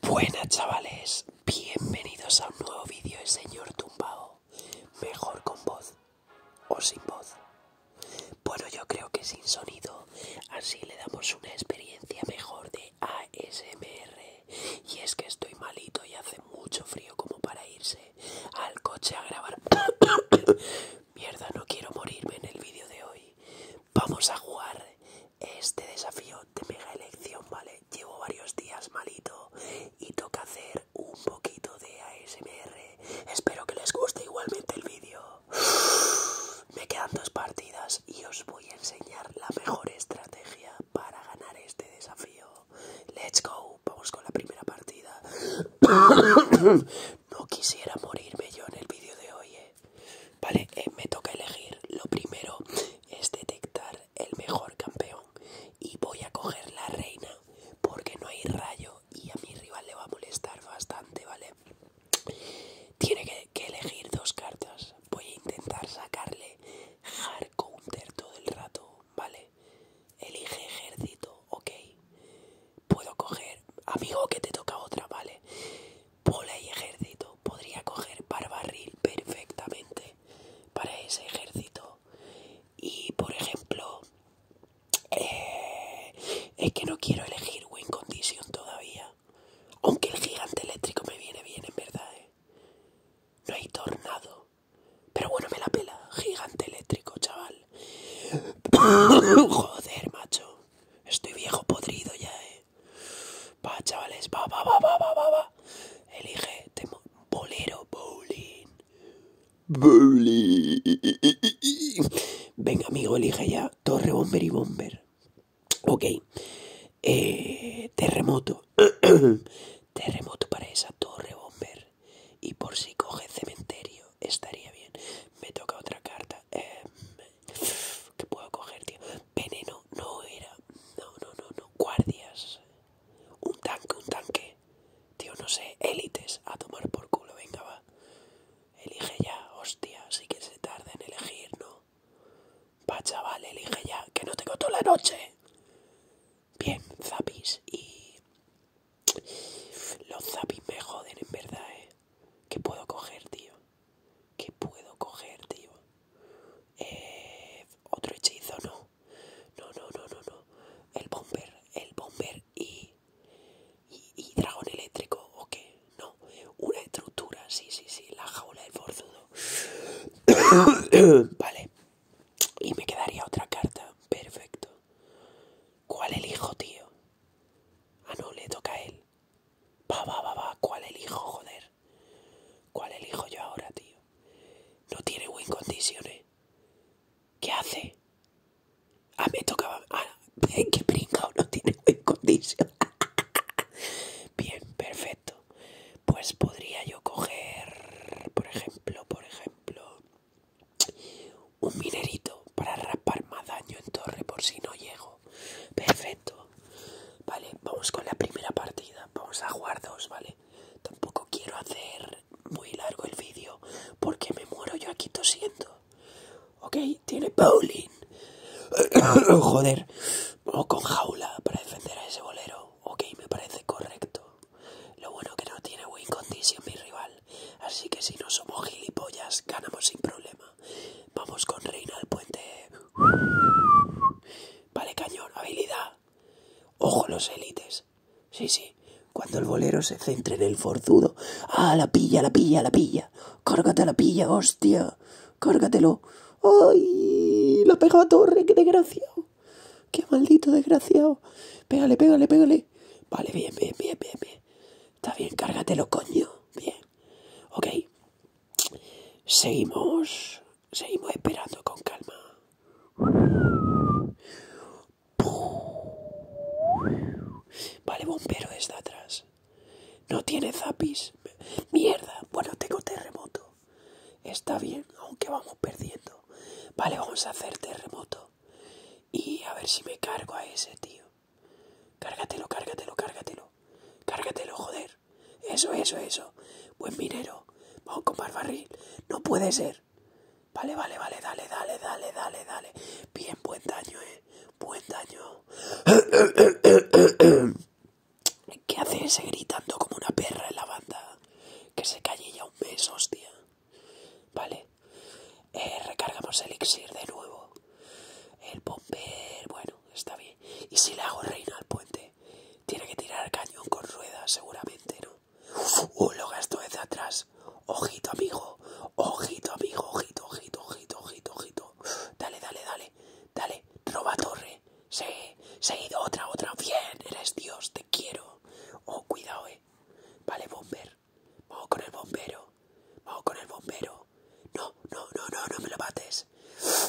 Buenas chavales, bienvenidos a un nuevo vídeo de Señor Tumbao Mejor con voz o sin voz Bueno yo creo que sin sonido, así le damos una experiencia mejor de ASMR Y es que estoy malito y hace mucho frío como para irse al coche a grabar Mierda, no quiero morirme en el vídeo de hoy Vamos a jugar este desafío de mega elección, ¿vale? Llevo varios días malito y toca hacer un poquito de ASMR. Espero que les guste igualmente el vídeo. Me quedan dos partidas y os voy a enseñar la mejor estrategia para ganar este desafío. Let's go, vamos con la primera partida. No quisiera morirme yo en el vídeo de hoy, ¿eh? Vale, eh, me toca elegir. Lo primero es detectar el mejor campeón. Y voy a coger la reina porque no hay rayo y a mi rival le va a molestar bastante, ¿vale? Tiene que, elegir dos cartas. Voy a intentar sacarle hard counter todo el rato, ¿vale? Elige ejército, ok. Puedo coger... Amigo, que te toca otra, ¿vale? Pola y ejército podría coger barbarril perfectamente para ese ejército. Y por ejemplo, eh, es que no quiero elegir Win Condition todavía. Aunque el gigante eléctrico me viene bien, en verdad. ¿eh? No hay tornado. Pero bueno, me la pela. Gigante eléctrico, chaval. Joder, macho. Estoy viejo podrido ya, eh. Va, chavales, pa va, pa va, pa va, Elige, temo, bolero, bowling. Bowling. Venga, amigo, elige ya. Torre, bomber y bomber. Ok. Eh, terremoto. terremoto para esa torre, bomber. Y por si coge cementerio, estaría bien. Me toca otra carta. Eh, ¿Qué puedo coger, tío. Veneno no era. No, no, no, no. Guardias. Un tanque, un tanque. Tío, no sé. Élites. A tomar por culo, venga, va. Elige ya, hostia. Sí que se tarda en elegir, ¿no? Va, chaval, elige ya. Que no tengo toda la noche. Bien, zapis. Y. Los zapis me joden, en verdad, eh. ¿Qué puedo coger, tío? ¿Qué puedo coger, tío? Eh, otro hechizo, no. No, no, no, no, no. El bomber, el bomber y... Y, dragón eléctrico, ¿o qué? No, una estructura, sí, sí, sí, la jaula del forzudo. vale. Y me quedaría otra carta, perfecto. ¿Cuál elijo, tío? Ah, no, le toca a él. Va, va, va, va. ¿Cuál elijo, joder? ¿Cuál elijo yo ahora, tío? No tiene buen condiciones. Eh. ¿Qué hace? Ah, me tocaba. Ah, qué pringao, no tiene win condition. Bien, perfecto. Pues podría yo coger, por ejemplo, por ejemplo. Un minerito para rapar más daño en torre por si no llego. Perfecto. Vale, vamos con la primera partida. Vamos a jugar dos, ¿vale? Tampoco quiero hacer muy largo el vídeo porque me muero yo aquí tosiendo. Ok, tiene bowling. Joder, o con jaula para defender a ese bolero. Ok, me parece correcto. Lo bueno que no tiene win condition mi rival. Así que si no somos gilipollas, ganamos sin problema. Vamos con Reina al puente. Vale, cañón, habilidad. Ojo los élites. Sí, sí. Cuando el bolero se centre en el forzudo. ¡Ah, la pilla, la pilla, la pilla! ¡Cárgate la pilla, hostia! ¡Cárgatelo! ¡Ay! lo pegado a torre, qué desgraciado! ¡Qué maldito desgraciado! Pégale, pégale, pégale. Vale, bien, bien, bien, bien, bien. Está bien, cárgatelo, coño. Bien. Ok. Seguimos. Seguimos esperando con calma. Vale, bombero está atrás. No tiene zapis. Mierda. Bueno, tengo terremoto. Está bien, aunque vamos perdiendo. Vale, vamos a hacer terremoto. Y a ver si me cargo a ese tío. Cárgatelo, cárgatelo, cárgatelo. Cárgatelo, joder. Eso, eso, eso. Buen minero. Vamos con barbarril. No puede ser. Vale, vale, vale, dale, dale, dale, dale, dale. Bien, buen daño, eh. Buen daño. ¿Qué hace ese gritando como una perra en la banda? Que se calle ya un mes, hostia. Vale. Eh, recargamos el elixir de nuevo. El bomber, bueno, está bien. Y si le hago reina al puente, tiene que tirar el cañón con ruedas, seguramente, ¿no? Oh, lo gasto desde atrás. Ojito, amigo. Ojito, amigo. Ojito, ojito, ojito, ojito, ojito. Dale, dale, dale. Dale. Roba torre. Sí. Seguido. Otra, otra. Bien. Eres Dios. Te quiero. Oh, cuidado, eh vale. bomber. Vamos con el bombero. Vamos con el bombero. No, no, no, no, no me lo mates.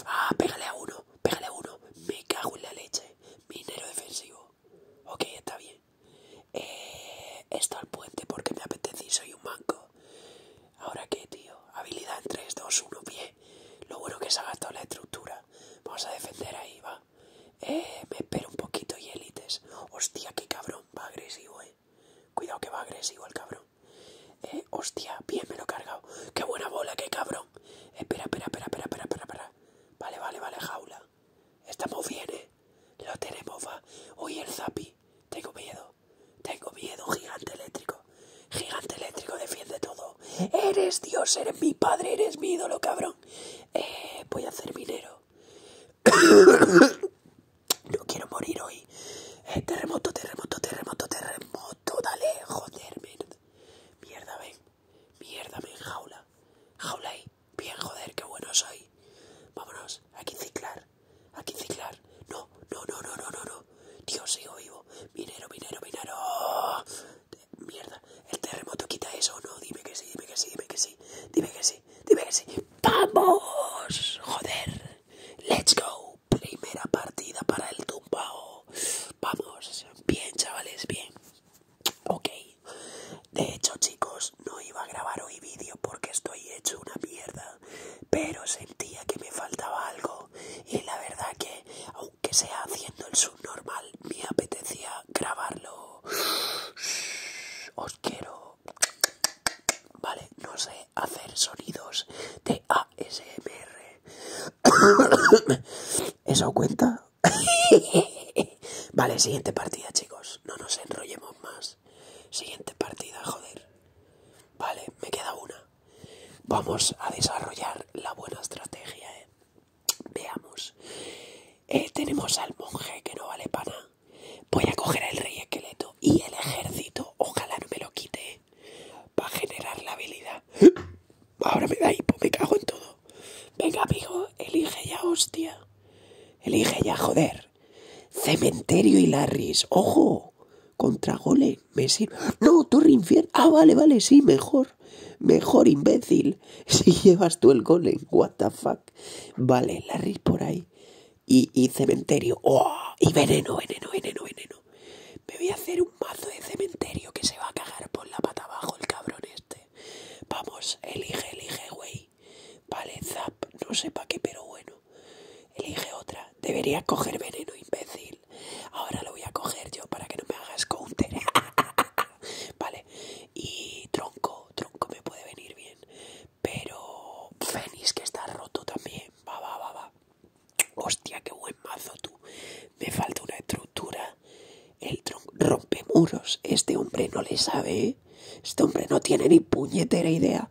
Ah, pégale a uno. Pégale a uno. Me cago en la leche. Minero defensivo. Ok, está bien. Eh, esto al puente porque me apetece y soy un manco. Ahora qué, tío. Habilidad en 3, 2, 1, pie Lo bueno que se ha gastado la estructura. Vamos a defender ahí, va. Eh, me espero un poquito y élites. Hostia, qué cabrón. Va agresivo, eh. Cuidado que va agresivo el cabrón. Eh, hostia, bien me lo he cargado. Qué buena bola, qué cabrón. Espera, espera, espera, espera, espera, espera, Vale, vale, vale, jaula. Estamos bien, eh. Lo tenemos, va. Oye, el zapi. Tengo miedo. Tengo miedo, gigante eléctrico. Gigante eléctrico, defiende todo. Eres Dios, eres mi padre, eres mi ídolo, cabrón eh, voy a hacer minero No quiero morir hoy. Eh, terremoto, terremoto, terremoto, terremoto. Dale, joder, mierda. Mierda, ven. Mierda, ven, jaula. Jaula ahí. Bien, joder, qué bueno soy. Vámonos, aquí ciclar. Aquí ciclar. No, no, no, no, no, no, no. Dios, sigo vivo. Minero, minero, minero. Mierda, el terremoto quita eso, ¿no? Dime que sí, dime que sí, dime que sí, dime que sí, dime que sí. ¡Vamos! Joder, let's go. Primera partida para el tumbao. Vamos, bien, chavales, bien. Ok, de hecho, chicos, no iba a grabar hoy vídeo porque estoy hecho una mierda, pero sentía que me faltaba algo y la verdad que, aunque sea haciendo el subnormal, mi me apetecía grabarlo. Os quiero. Vale, no sé hacer sonidos de ASMR. ¿Eso cuenta? vale, siguiente partida, chicos. No nos enrollemos más. Siguiente partida, joder. Vale, me queda una. Vamos a desarrollar la buena estrategia, eh. Veamos. Eh, tenemos al monje que no vale para Voy a coger al rey esqueleto y el ejército. Ojalá no me lo quite. Para generar la habilidad. Ahora me da hipo, me cago en todo. Venga, amigo, elige ya, hostia. Elige ya, joder. Cementerio y Larris. Ojo. Contra gole, Me sirve. No, Torre Infierno. Ah, vale, vale, sí, mejor mejor. imbécil. Si llevas tú el golem, what the fuck. Vale, Larry por ahí. Y, cementerio. ¡Oh! y veneno, veneno, veneno, veneno. Me voy a hacer un mazo de cementerio que se va a cagar por la pata abajo el cabrón este. Vamos, elige, elige, güey. Vale, zap, no sé para qué, pero bueno. Elige otra. Debería coger veneno, imbécil. Ahora lo voy a coger yo para que no me hagas counter. vale. Y tronco, tronco me puede venir bien. Pero Fénix que está roto también. Va, va, va, va. Hostia, qué buen mazo tú. Me falta una estructura. El tronco rompe muros. Este hombre no le sabe. ¿eh? Este hombre no tiene ni puñetera idea.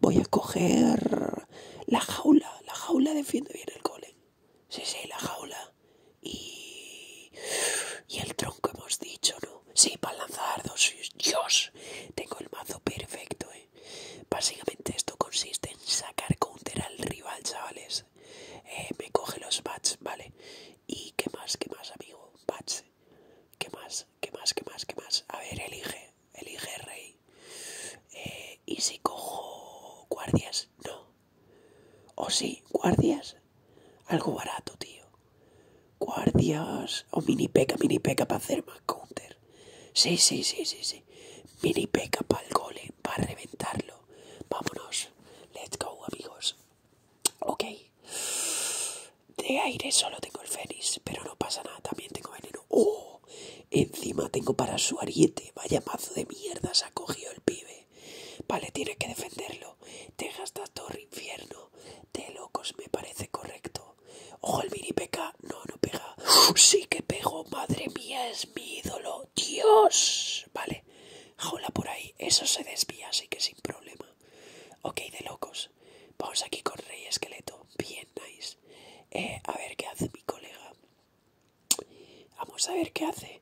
Voy a coger la jaula. La jaula defiende bien el golem. Sí, sí, la jaula. Y. Y el tronco hemos dicho, ¿no? Sí, para lanzar dos. Dios, tengo el mazo perfecto, ¿eh? Básicamente esto consiste en sacar counter al rival, chavales. Eh, me coge los bats, ¿vale? ¿Y qué más, qué más, amigo? Bats. ¿Qué más? ¿Qué más? ¿Qué más? ¿Qué más? A ver, elige. Elige, rey. Eh, ¿Y si cojo guardias? No. ¿O sí? ¿Guardias? Algo barato, tío. Guardias o mini peca, mini peca para hacer más counter. Sí, sí, sí, sí, sí. Mini peca para el gole, para reventarlo. Vámonos. Let's go, amigos. Ok. De aire solo tengo el fénix, pero no pasa nada. También tengo veneno. ¡Oh! Encima tengo para su ariete. Vaya mazo de mierdas se ha cogido el pibe. Vale, tiene que defenderlo. Te gasta torre infierno. De locos me parece correcto. Ojo, el mini peca. No, no pega. Sí que pego. Madre mía, es mi ídolo. Dios. Vale. Jaula por ahí. Eso se desvía, así que sin problema. Ok, de locos. Vamos aquí con Rey Esqueleto. Bien, nice. Eh, a ver qué hace mi colega. Vamos a ver qué hace.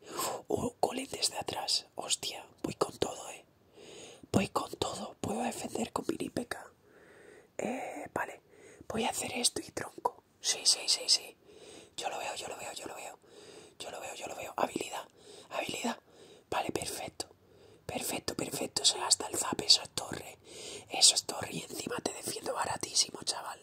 Oh, uh, Colin desde atrás. Hostia, voy con todo, eh. Voy con todo. Puedo defender con piripeca. Eh, vale. Voy a hacer esto y tronco. Sí, sí, sí, sí. Yo lo veo, yo lo veo, yo lo veo. Yo lo veo, yo lo veo. Habilidad, habilidad. Vale, perfecto. Perfecto, perfecto. Se gasta el zap esa torre. Eso es torre y encima te defiendo baratísimo, chaval.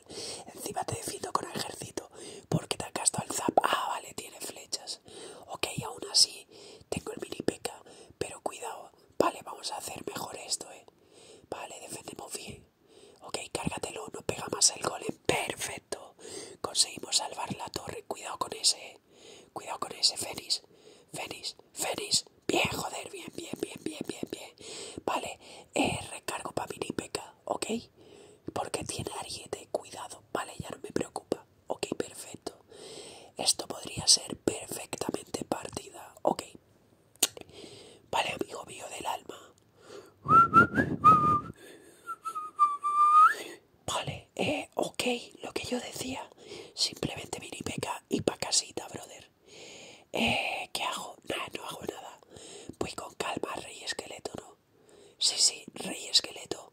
Encima te defiendo con ejército. Porque te has gastado el zap. Ah, vale, tiene flechas. Ok, aún así tengo el mini peca. Pero cuidado. Vale, vamos a hacer mejor esto, ¿eh? Vale, defendemos bien. Ok, cárgatelo. No pega más el golem. Eh. Perfecto. Conseguimos salvar la torre. Cuidado con ese, ¿eh? Cuidado con ese, Fénix. Fénix, Fénix. Bien, joder, bien, bien, bien, bien, bien, bien. Vale, eh, recargo para peca, ¿ok? Porque tiene ariete, cuidado, vale, ya no me preocupa. Ok, perfecto. Esto podría ser perfectamente partida, ok. Vale, amigo mío del alma. Vale, eh, ok, lo que yo decía. Simplemente Peca y pa' casita, brother. Eh, ¿Qué hago? Nada, no hago nada. Voy con calma, rey esqueleto, ¿no? Sí, sí, rey esqueleto.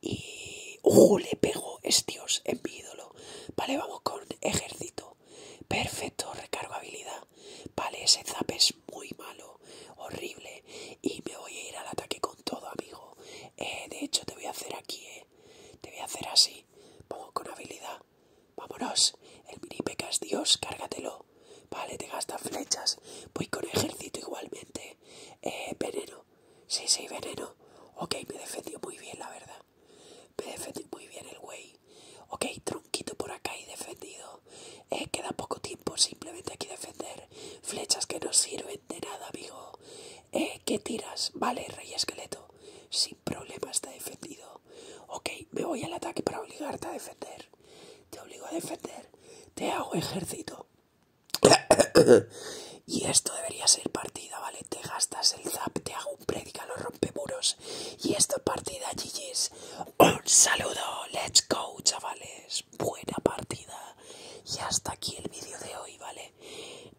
Y... ¡Uh! Le pego. Es Dios, es mi ídolo. Vale, vamos con ejército. Perfecto, recargo habilidad. Vale, ese zap es muy malo. Horrible. Y me voy a ir al ataque con todo, amigo. Eh, de hecho, te voy a hacer aquí, ¿eh? Te voy a hacer así. Vamos con habilidad vámonos, el mini es Dios, cárgatelo. Vale, te gasta flechas, voy con ejército igualmente. Eh, veneno, sí, sí, veneno. Ok, me defendió muy bien, la verdad. Me defendió muy bien el güey. Ok, tronquito por acá y defendido. Eh, queda poco tiempo simplemente aquí defender. Flechas que no sirven de nada, amigo. Eh, ¿qué tiras? Vale, rey esqueleto problema está defendido. Ok, me voy al ataque para obligarte a defender. Te obligo a defender. Te hago ejército. y esto debería ser partida, ¿vale? Te gastas el zap, te hago un predica, los muros Y esto es partida, GG's. Un saludo, let's go, chavales. Buena partida. Y hasta aquí el vídeo de hoy, ¿vale?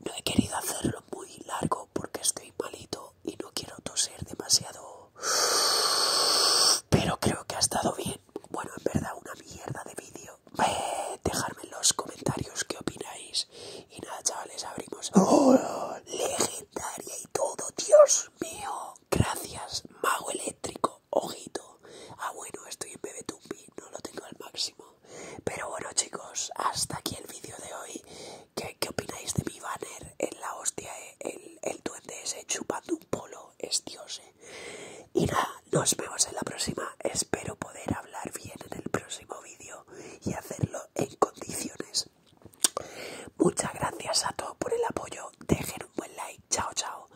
No he querido hacerlo muy largo porque estoy malito y no quiero toser demasiado. Pero creo que ha estado bien. Bueno, en verdad, una mierda de vídeo. Eh, dejadme en los comentarios qué opináis. Y nada, chavales, abrimos. ¡Oh! Legendaria y todo, Dios mío. Gracias, mago eléctrico. Ojito. Ah, bueno, estoy en Bebetumbi. No lo tengo al máximo. Pero bueno chicos, hasta aquí el vídeo de hoy. ¿Qué, opináis de mi banner en la hostia? Eh, el, el duende ese chupando un polo es dios. Eh. Y nada, nos vemos en la próxima. Espero poder hablar bien en el próximo vídeo y hacerlo en condiciones. Muchas gracias a todos por el apoyo. Dejen un buen like. Chao, chao.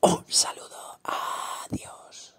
Un saludo. Adiós.